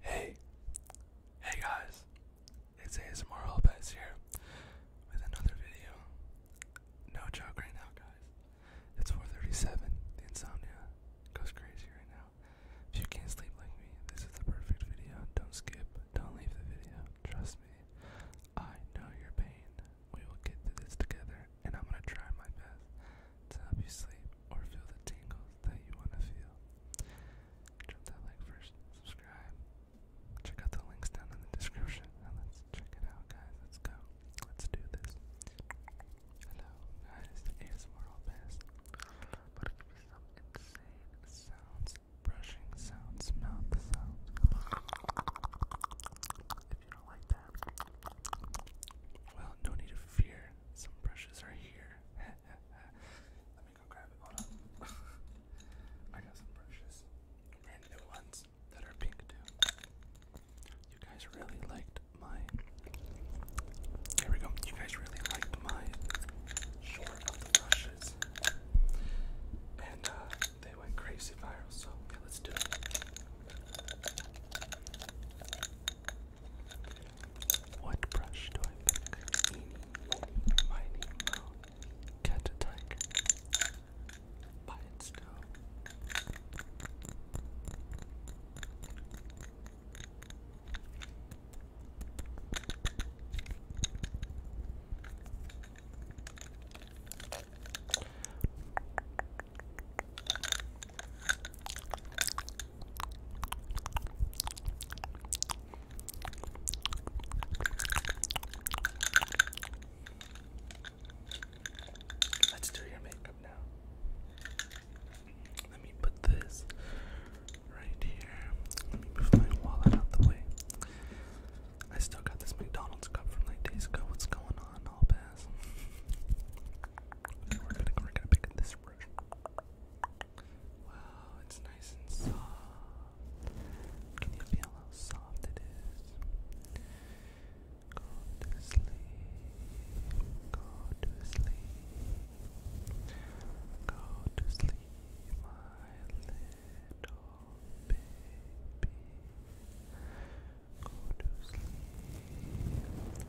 Hey, hey guys, it's ASMR Lopez here with another video. No joke right now, guys. It's 4:37. The insomnia goes crazy right now. If you can't sleep like me, this is the perfect video. Don't skip. Don't leave the video. Trust me. I know your pain. We will get through this together, and I'm gonna try my best to help you sleep or feel the tingles that you want to feel, drop that like first, subscribe, check out the links down in the description, let's check it out, guys. Let's go. Let's do this. Hello, guys. ASMR all best. But it could be some insane sounds, brushing sounds, mouth sounds. If you don't like that, well, no need to fear. Some brushes are here. Let me go grab it. I got some brushes. Brand new ones that are pink too. You guys really liked my. Here we go. You guys really liked my short of the brushes. And uh, they went crazy viral, so yeah, let's do it. What brush do I pick? Eeny, meeny, miny, moe. Catch Let's do your makeup now. Let me put this right here. Let me move my wallet out the way. I still got this McDonald's cup from like days ago. What's going on? I'll pass. Okay, we're gonna we're pick up this brush. Wow, it's nice and soft. Can you feel how soft it is? Go to sleep. Go to sleep. Go to sleep, my little baby. Go to sleep. Yeah.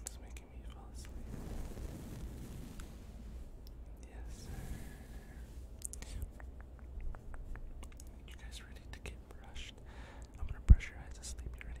It's making me fall asleep. Yes, You guys ready to get brushed? crushed. I'm gonna brush your eyes to sleep. You ready?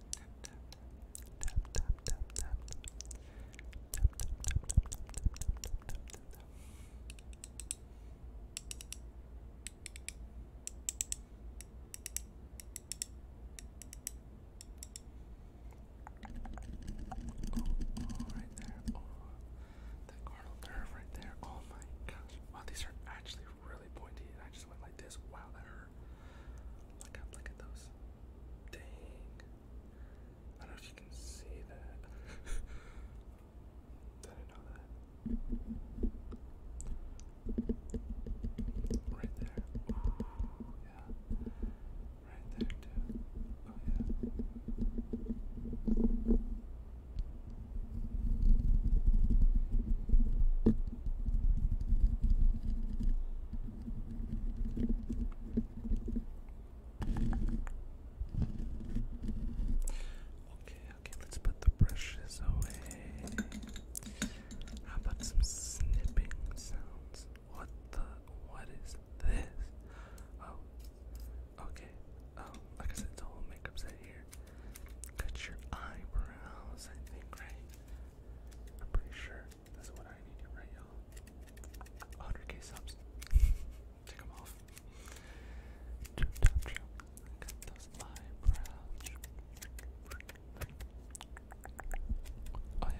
Oh, right there. Oh, that carnal nerve right there. Oh my gosh. Wow, these are actually really pointy, I just went like this. Wow, that hurt. Look at, look at those. Dang. I don't know if you can see that. I did know that. Right there. Oh, yeah. Right there, too. Oh, yeah. Okay, okay, let's put the brushes away. How about some snipping sounds? What the what is this? Oh, okay. Um, like I said, it's a makeup set here. Cut your eyebrows, I think, right? I'm pretty sure. That's what I needed, right, y'all? 100k subs. Take off. Oh, yeah.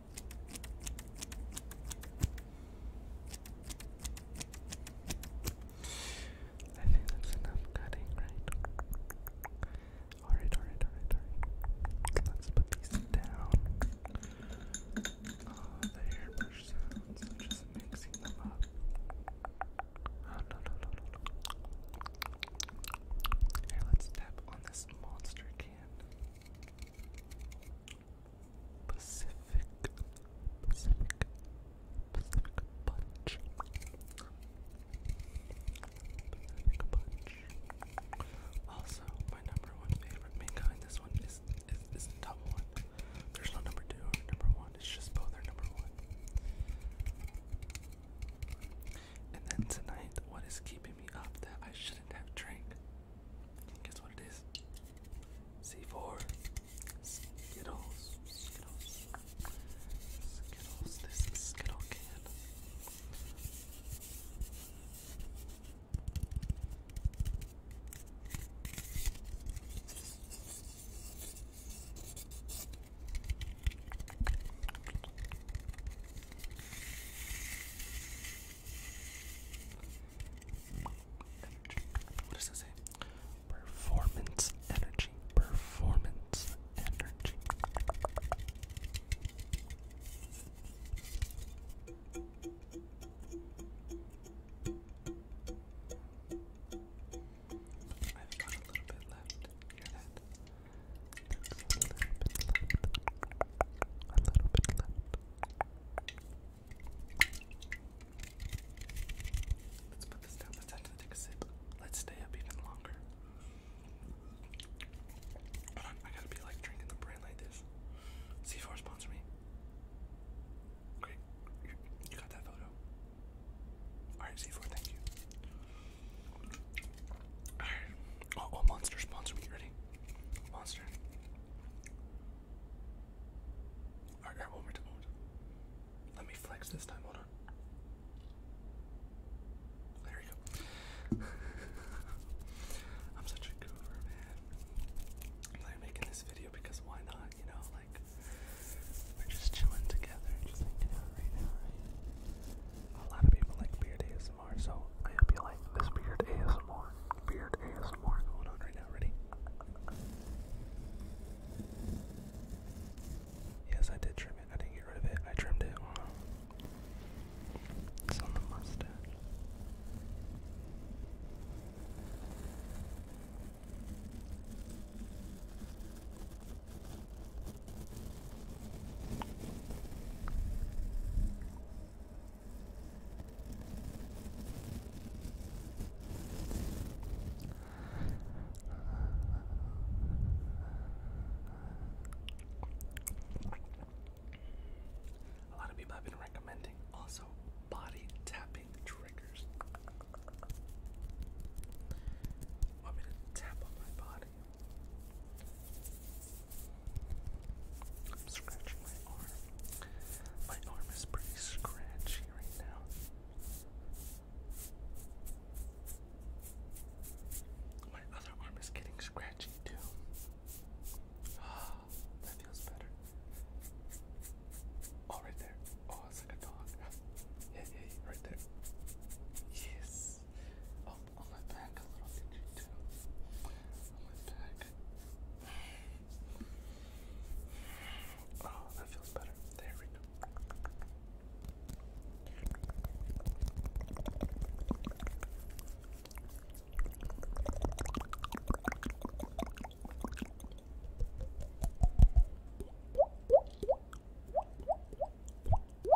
I think that's enough cutting, right? Alright, alright, alright, alright. Let's put these down. Oh, the hairbrush I'm just mixing them up. Oh, no, no, no, no. Here, let's tap on this monster can. Pacific, Pacific, Pacific Punch. Pacific Punch. Also, my number one favorite manga in this one is is, is the top one. There's no number two or number one. It's just both are number one. And then tonight, what is keeping me up that I should Guess what it is? C4. Skittles. Skittles. This Skittle can. What does that say? Performance energy. Performance energy. I've got a little bit left. Hear that? Let's put this down. Let's take a sip. Let's stay up even longer. I gotta be like drinking the brand like this. C4 sponsor me. Great. You got that photo. Alright, C4, thank you. All right. Oh, oh monster sponsor me. Ready? Monster. All right, one more time. Let me flex this time. Hold on. There you go. I'm such a goober, man. I'm making this video because why not? You know, like we're just chilling together, just hanging out right now, A lot of people like weird this beard ASMR. Beard ASMR Yes, I did trim it. I didn't get rid of it. I trimmed it It's on the mustache. A lot of people have been recommending also body tapping triggers. Want me to tap on my body? I'm scratching my arm. My arm is pretty scratchy right now. My other arm is getting scratchy too. Ah, that feels better. Oh, there. Oh, it's like a dog. Yeah, yeah, right there. Yes. Oh on my back a little bit too. On my back. Oh, that feels better. There we go. if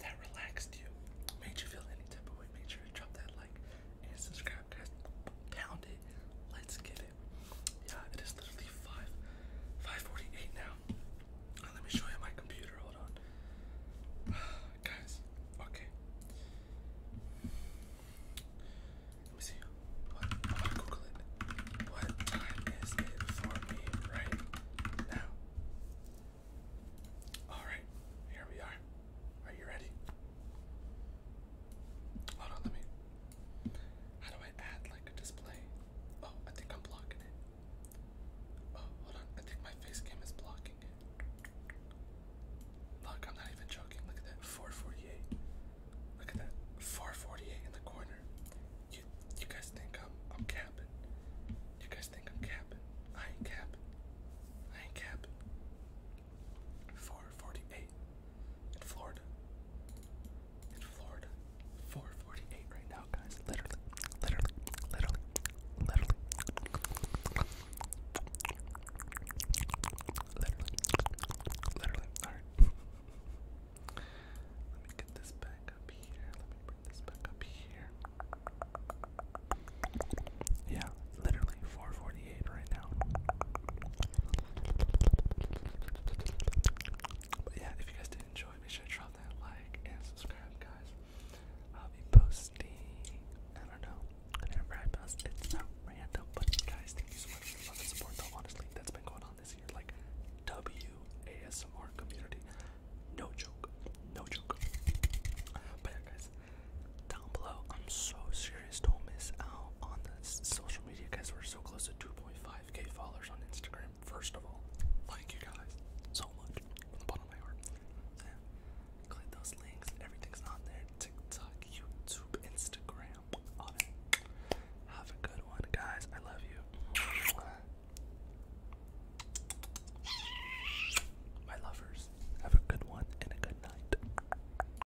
that relaxed you, made you feel any type of way, make sure you drop that like and subscribe, guys. Pound it. Let's give it. Yeah, it is literally five, five forty-eight now. Uh, let me show you my computer. Hold on, guys. Okay. Let me see. What? Google it. What time is it for me right now? All right, here we are. Are you ready? Hold on, let me. How do I add like a display? Oh, I think I'm blocking it. Oh, hold on. I think my face is blocking it. Look, I'm not even joking. Look at that. 448. Look at that. 448 in the corner. You you guys think I'm I'm capping. You guys think I'm capping. I ain't capping. I ain't capping. 448 in Florida. In Florida. 448 right now, guys. Literally, literally, literally, literally. Literally, literally. Alright. Let me get this back up here. Let me bring this back up here. Yeah, literally 4.48 but yeah, if you guys did enjoy, make sure to drop that like and subscribe, guys. I'll be posting, I don't know, whenever I post, it's not random, but guys, thank you so much for the support, though, honestly, that's been going on this year, like, WASMR community, no joke, no joke. But yeah, guys, down below, I'm so serious, don't miss out on the social media, guys. We're so close to 2.5k followers on Instagram. First of all, thank you guys so much from the bottom of my heart. Click those links. Everything's on there. TikTok, YouTube, Instagram, all that. Have a good one, guys. I love you. My lovers, have a good one and a good night.